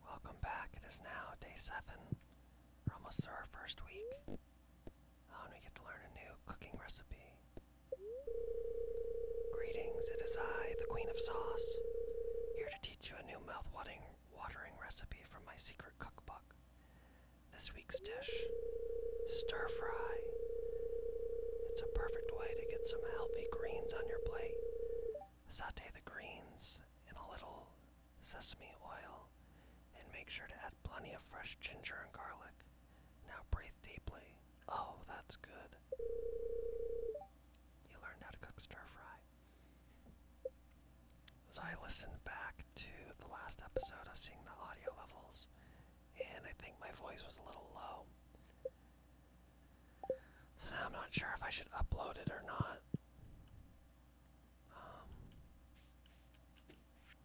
Welcome back. It is now day seven. We're almost through our first week. Oh, and we get to learn a new cooking recipe. Greetings, it is I, the Queen of Sauce, here to teach you a new mouth-watering watering recipe from my secret cookbook. This week's dish, stir fry. It's a perfect way to get some healthy greens on your plate Saute the greens in a little sesame oil and make sure to add plenty of fresh ginger and garlic. Now breathe deeply. Oh, that's good. You learned how to cook stir fry. So I listened back to the last episode of seeing the audio levels, and I think my voice was a little low now I'm not sure if I should upload it or not. Um,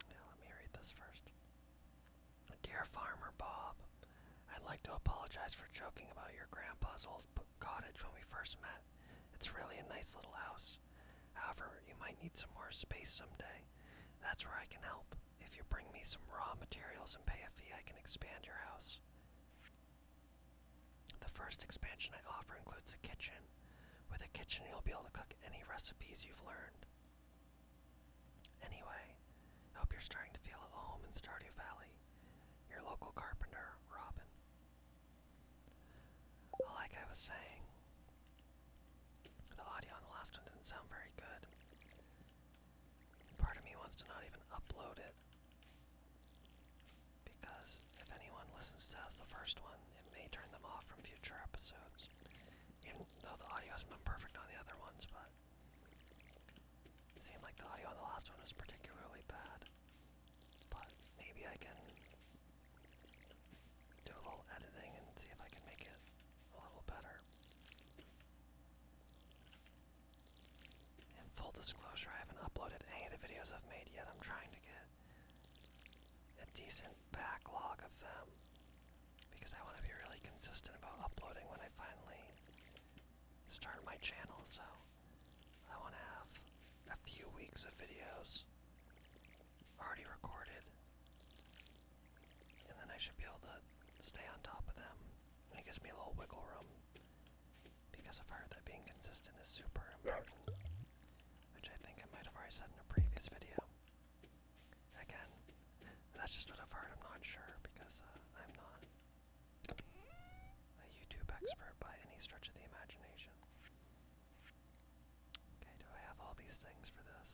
let me read this first. Dear Farmer Bob, I'd like to apologize for joking about your grandpa's old cottage when we first met. It's really a nice little house. However, you might need some more space someday. That's where I can help. If you bring me some raw materials and pay a fee, I can expand your house. The first expansion I offer includes a kitchen. With a kitchen, you'll be able to cook any recipes you've learned. Anyway, hope you're starting to feel at home in Stardew Valley. Your local carpenter, Robin. like I was saying, the audio on the last one didn't sound very good. Part of me wants to not even upload it because if anyone listens to us the first one, it may turn them off from future episodes. Even though the audio has been perfect on the other ones, but seemed like the audio on the last one was particularly bad. But maybe I can do a little editing and see if I can make it a little better. And full disclosure, I haven't uploaded any of the videos I've made yet. I'm trying to get a decent backlog of them because I want to be really consistent about uploading when I finally start my channel. So I want to have a few weeks of videos already recorded, and then I should be able to stay on top of them. it gives me a little wiggle room because of her, that being consistent is super important, which I think I might have already said in a previous video. Again, that's just what I've heard, I'm not sure, because uh, I'm not a YouTube expert by any stretch of the imagination. Okay, do I have all these things for this?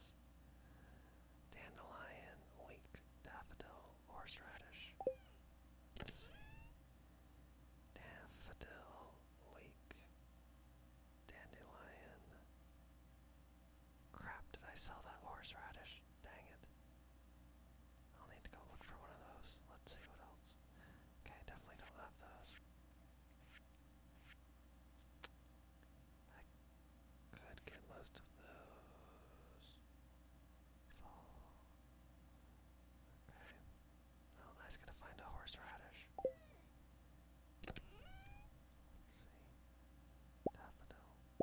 Dandelion, leek, daffodil, horseradish. Daffodil Lake. Dandelion. Crap, did I sell that horseradish? Dang it. I'll need to go look for one of those. Let's see what else. Okay, definitely don't have those. could get most of those. Fall. Okay. Oh, Gonna find a horseradish. Daffodil.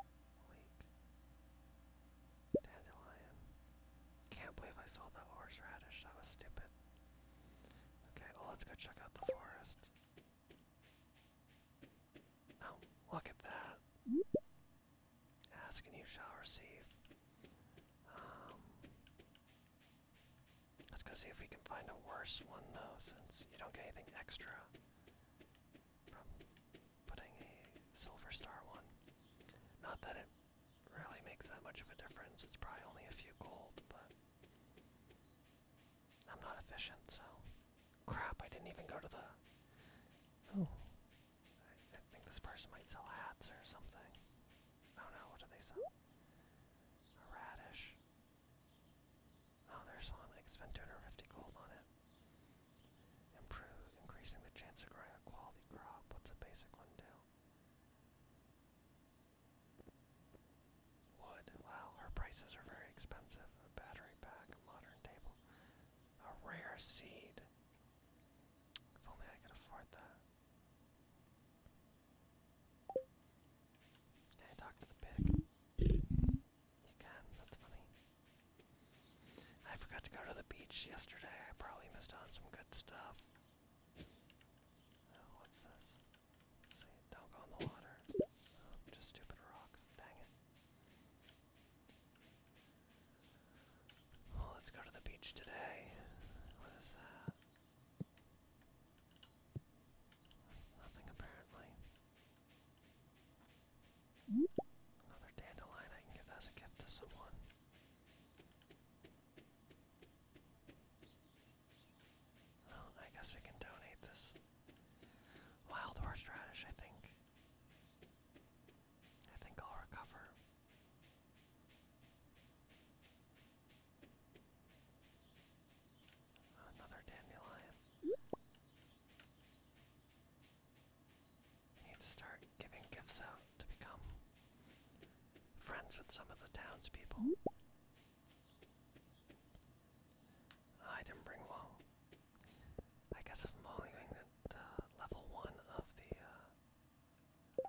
Leek. Dandelion. Can't believe I saw that horseradish. That was stupid. Okay, well, let's go check out the forest. Oh, look at that. Ask and you shall receive. let's um, go see if we can find a worse one though, since you don't get anything extra from putting a silver star one. Not that it really makes that much of a difference, it's probably only a few gold, but I'm not efficient, so Crap, I didn't even go to the. Oh. I, think this person might sell hats or something. Oh no, what do they sell? A radish. Oh, there's one. I spent 250 gold on it. Improve, increasing the chance of growing a quality crop. What's a basic one do? Wood. Wow, her prices are very expensive. battery pack, modern table. A rare seed. If only I could afford that. Can I talk to the pig? You can, that's funny. I forgot to go to the beach yesterday. I probably missed on some good stuff. Oh, what's this? See, don't go in the water. Oh, just stupid rocks. Dang it. Oh, let's go to the beach today. Nothing apparently. Another dandelion I can give as a gift to someone. Well, I guess we can donate this Wild horseradish, I think. I think I'll recover. Another dandelion. need to start giving gifts out to become friends with some of the townspeople. I bring long. I guess if I'm only doing level one of the uh,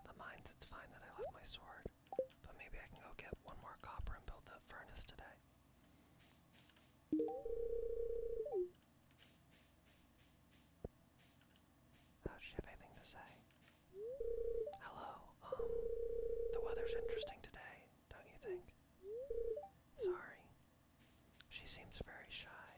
the mines, it's fine that I left my sword. But maybe I can go get one more copper and build the furnace today. Oh, she have anything to say? Hello. Um, the weather's interesting today, don't you think? Sorry. She seems very shy.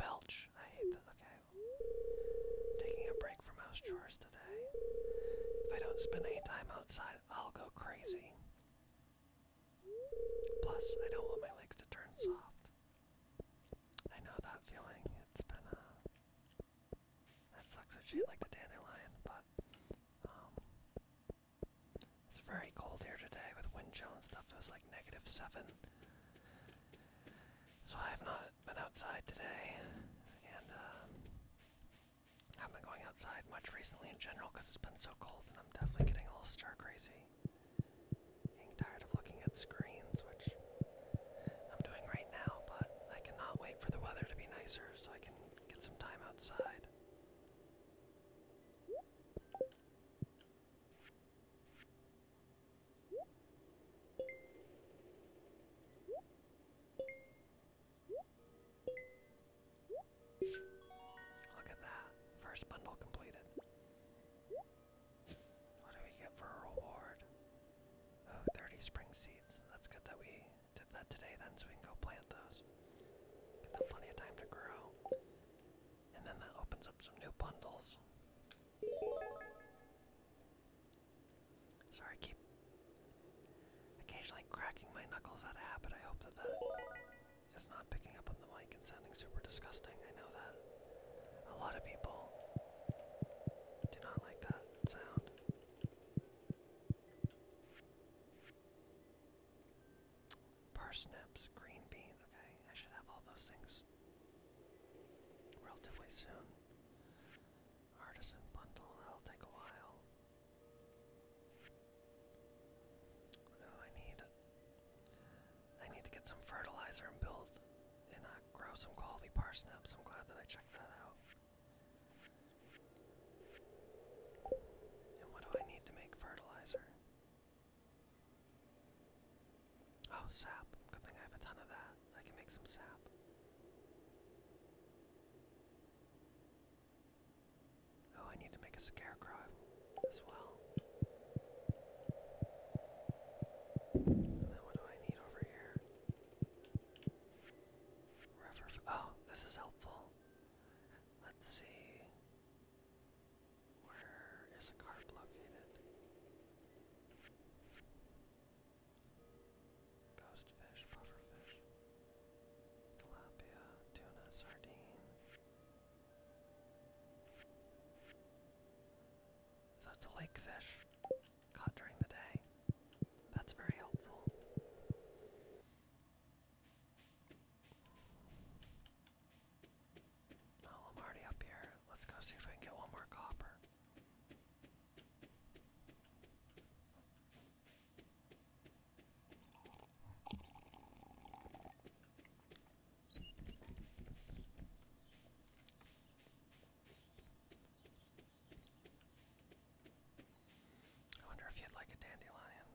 Belch. I hate that. Okay. Taking a break from house chores today. If I don't spend any time outside, I'll go crazy. Plus, I don't want my legs to turn soft. I know that feeling. It's been a uh, that sucks of shit like the dandelion, but um, it's very cold here today with wind chill and stuff. It was like negative seven, so I have not been outside today, and um, uh, I have been going outside much recently in general because it's been so cold, and I'm definitely getting a little star crazy. Getting tired of looking at screens, which I'm doing right now, but I cannot wait for the weather to be nicer so I can get some time outside. Look at that. First bundle completed. What do we get for a reward? Oh, 30 spring seeds. That's good that we did that today then so we can go plant those. Give them plenty of time to grow. And then that opens up some new bundles. Sorry, keep occasionally cracking my knuckles out of habit. I hope that the it's not picking up on the mic and sounding super disgusting. I know that. A lot of people do not like that sound. Parsnips, green bean, okay, I should have all those things relatively soon. Artisan bundle, that'll take a while. Oh, I need I need to get some fertilizer and build and uh, grow some quality parsnips. I'm glad that I checked that out. And what do I need to make fertilizer? Oh, sap. Good thing I have a ton of that. I can make some sap. Oh, I need to make a scarecrow as well. what do I need over here? River. Oh, this is helpful. Let's see. Where is a cart located? Ghost fish, puffer fish, tilapia, tuna, sardine. So it's a lake fish caught during the day. That's very helpful. I'm already up here. Let's go see if I can get one more copper. I wonder if you'd like a dandelion.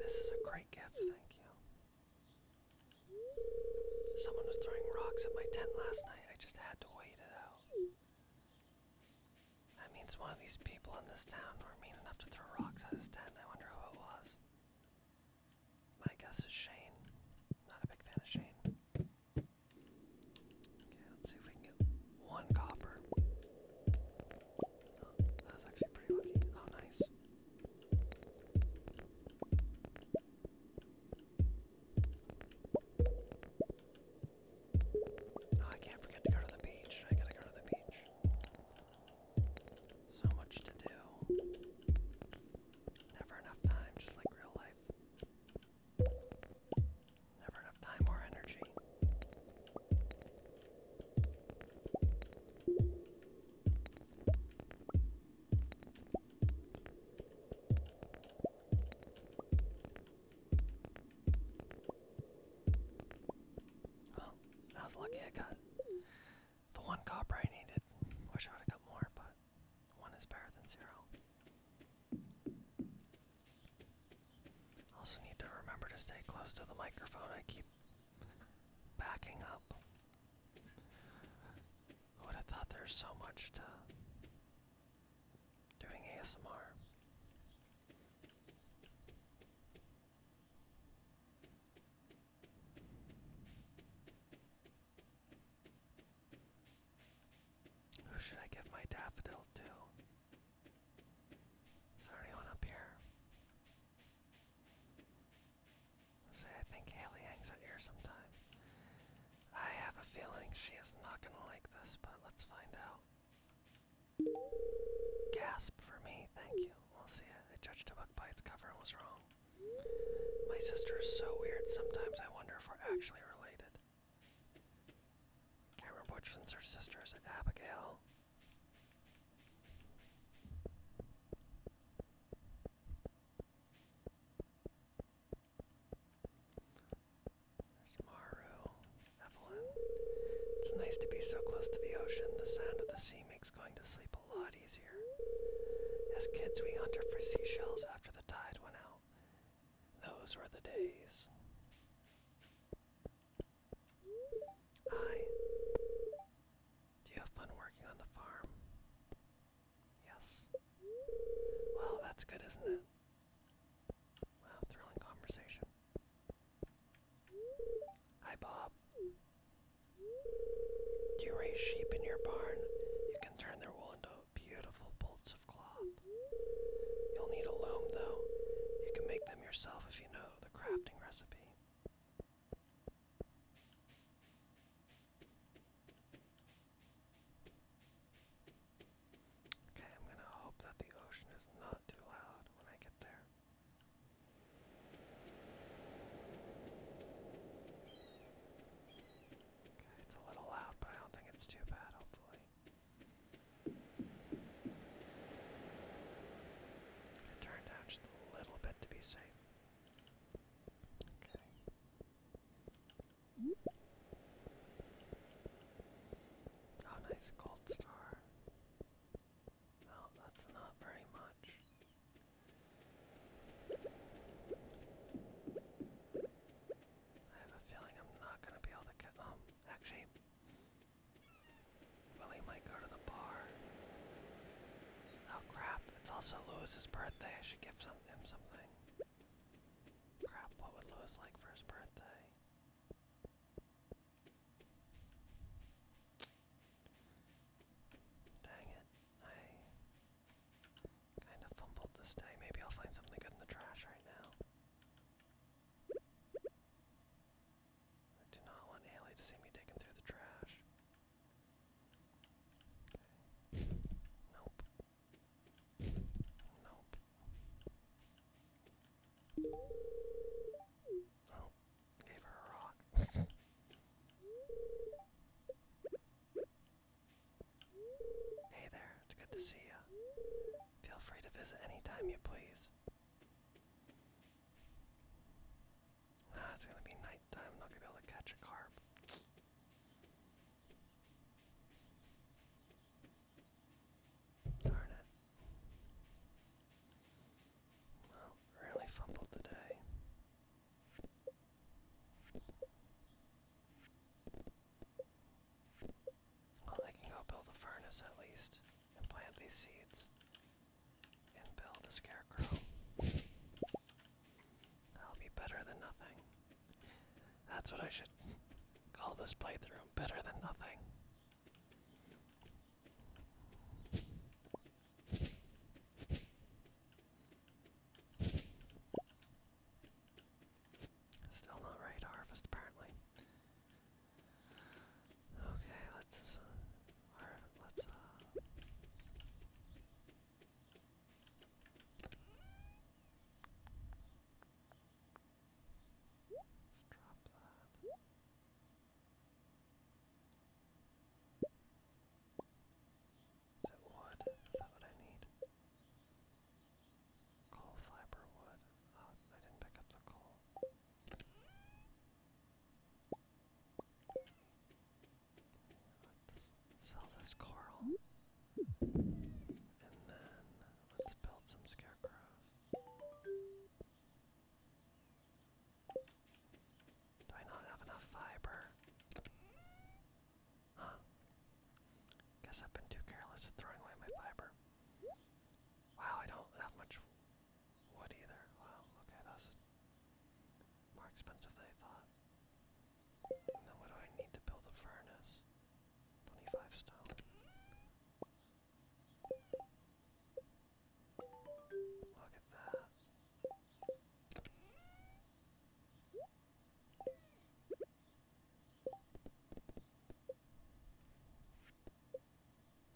This is a great gift, thank you. Someone was throwing rocks at my tent last night. I just had to wait it out. That means one of these people in this town were mean enough to throw rocks at his tent. I wonder who it was. My guess is Shane. Not a big fan of Shane. Okay, let's see if we can get one copper. that was actually pretty lucky. Oh, nice. Oh, I can't forget to go to the beach. I gotta go to the beach. So much to do. Never enough time, just like real life. Never enough time or energy. Well, I was lucky I got the one copper I needed. Wish I would got more, but one is better than zero. Also need to remember to stay close to the microphone. I keep backing up. Who would have thought there's so much to doing ASMR? Who should I give my daffodil to? Is there anyone up here? Say, I think Haley hangs out here sometime. I have a feeling she is not gonna like this, but let's find out. Gasp for me, thank you. i will see it. I judged a book by its cover and was wrong. My sister is so weird, sometimes I wonder if we're actually related. Can't her sister. Is Abigail? There's Maru, Evelyn. It's nice to be so close to the ocean. The sound of the sea makes going to sleep a lot easier. As kids, we hunted for seashells after the tide went out. Those were the days. Hi. Do you have fun working on the farm? Yes. Well, that's good, isn't it? Wow, thrilling conversation. Hi, Bob. Do you raise sheep in your barn? You can turn their wool into beautiful bolts of cloth. You'll need a loom, though. You can make them yourself if you know the crafting recipe. Okay, I'm gonna hope that the ocean is not too loud when I get there. Okay, it's a little loud, but I don't think it's too bad, hopefully. I'm down just a little bit to be safe. Okay. Oh, nice cold star. No, that's not very much. I have a feeling I'm not going to be able to get them. Um, actually, Willie might go to the bar. Oh crap, it's also Lewis's birthday. I should give him something. Crap, what would Lewis like for his birthday? Dang it, I kind of fumbled this day. Maybe I'll find something good in the trash right now. I do not want Haley to see me digging through the trash. Nope. Nope. Oh, gave her a rock. hey there, it's good to see you. Feel free to visit anytime you please. Ah, it's gonna be nighttime, I'm not gonna be able to catch a carp. Darn it. Well, really fumbled today. Well, I can go build a furnace at least, and plant these seeds, and build a scarecrow. That'll be better than nothing. That's what I should call this playthrough better than nothing. Still not ready to apparently. Okay, let's. Uh, let's. Uh, Let's drop that. Is it wood? Is that what I need? Coal fiber wood. Oh, I didn't pick up the coal. Let's sell this coral. And then let's build some scarecrows. Do I not have enough fiber? Huh. Guess I've been too careless with throwing away my fiber. Wow, I don't have much wood either. Wow, okay, that's more expensive than I thought then what do I need to build a furnace? 25 stone. Look at that.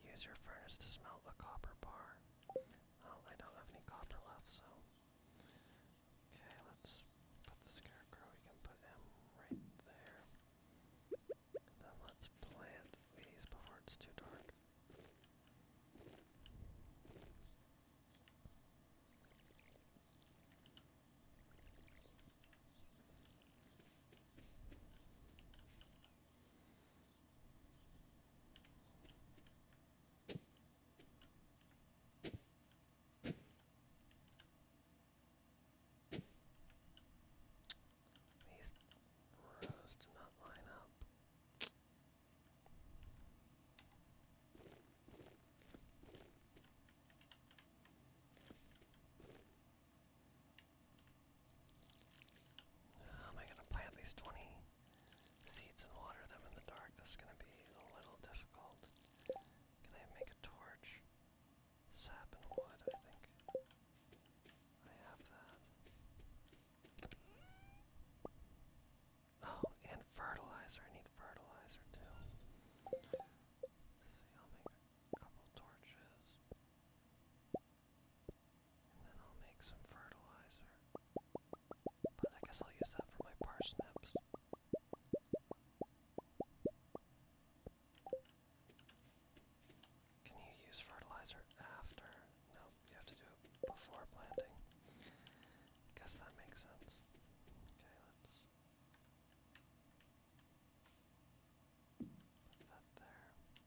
Use your furnace to smelt a copper bar. Oh, I don't have any copper left, so Okay, let's put the scarecrow. We can put him right there. then let's plant these before it's too dark. These rows do not line up. How am I going to plant these 20 seeds and water them in the dark? This going to be a little difficult. Can I make a torch? Sap and wood, I think. I have that. Oh, and fertilizer. I need fertilizer too. see, I'll make a couple torches. And then I'll make some fertilizer. But I guess I'll use that for my parsnips. Can you use fertilizer after? No, you have to do it before planting. Guess that makes sense. Okay, let's put that there. Okay.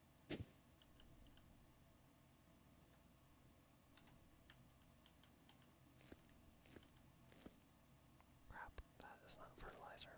Crap, that is not fertilizer.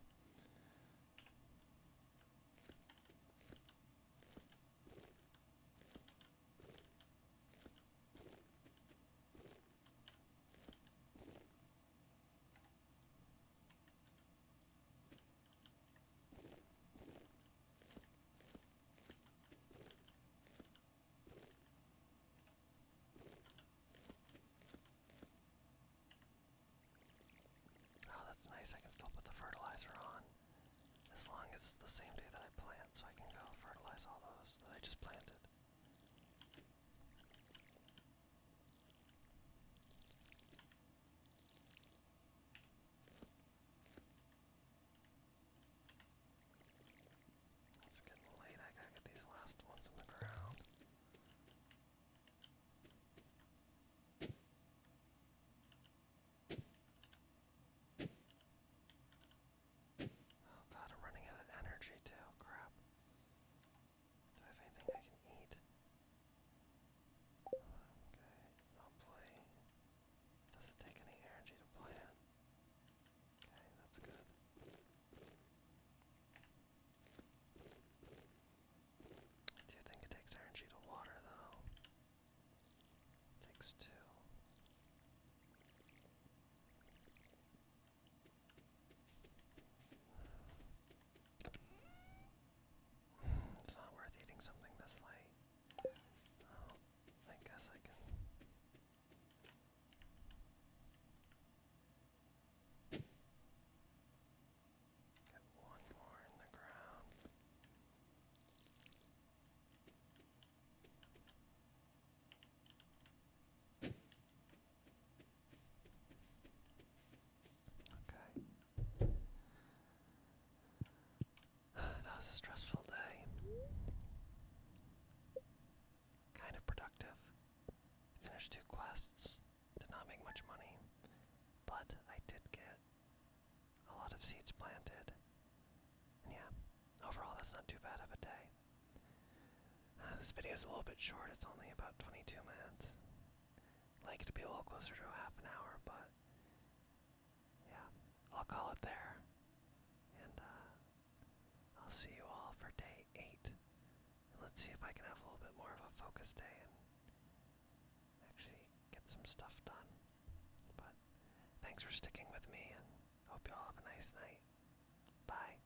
Oh, that's nice. I can still put the fertilizer on as long as it's the same day that I plant, so I can go fertilize all those that I just planted. It's getting late, I gotta get these last ones in the ground. Oh god, I'm running out of energy too, crap. Do I have anything I can eat? Okay, I'll play. Does it take any energy to play Okay, that's good. Do you think it takes energy to water though? takes two. It's not worth eating something this late. Oh, I guess I can. Get one more in the ground. Okay. That was a stressful day. Kind of productive. Finished two quests. Did not make much money. But I did get a lot of seeds planted. yeah, overall that's not too bad of a day. Uh, this video is a little bit short, it's only about 22 minutes like it to be a little closer to a half an hour, but yeah, I'll call it there. And uh, I'll see you all for day eight. let's see if I can have a little bit more of a focus day and actually get some stuff done. But thanks for sticking with me and hope you all have a nice night. Bye.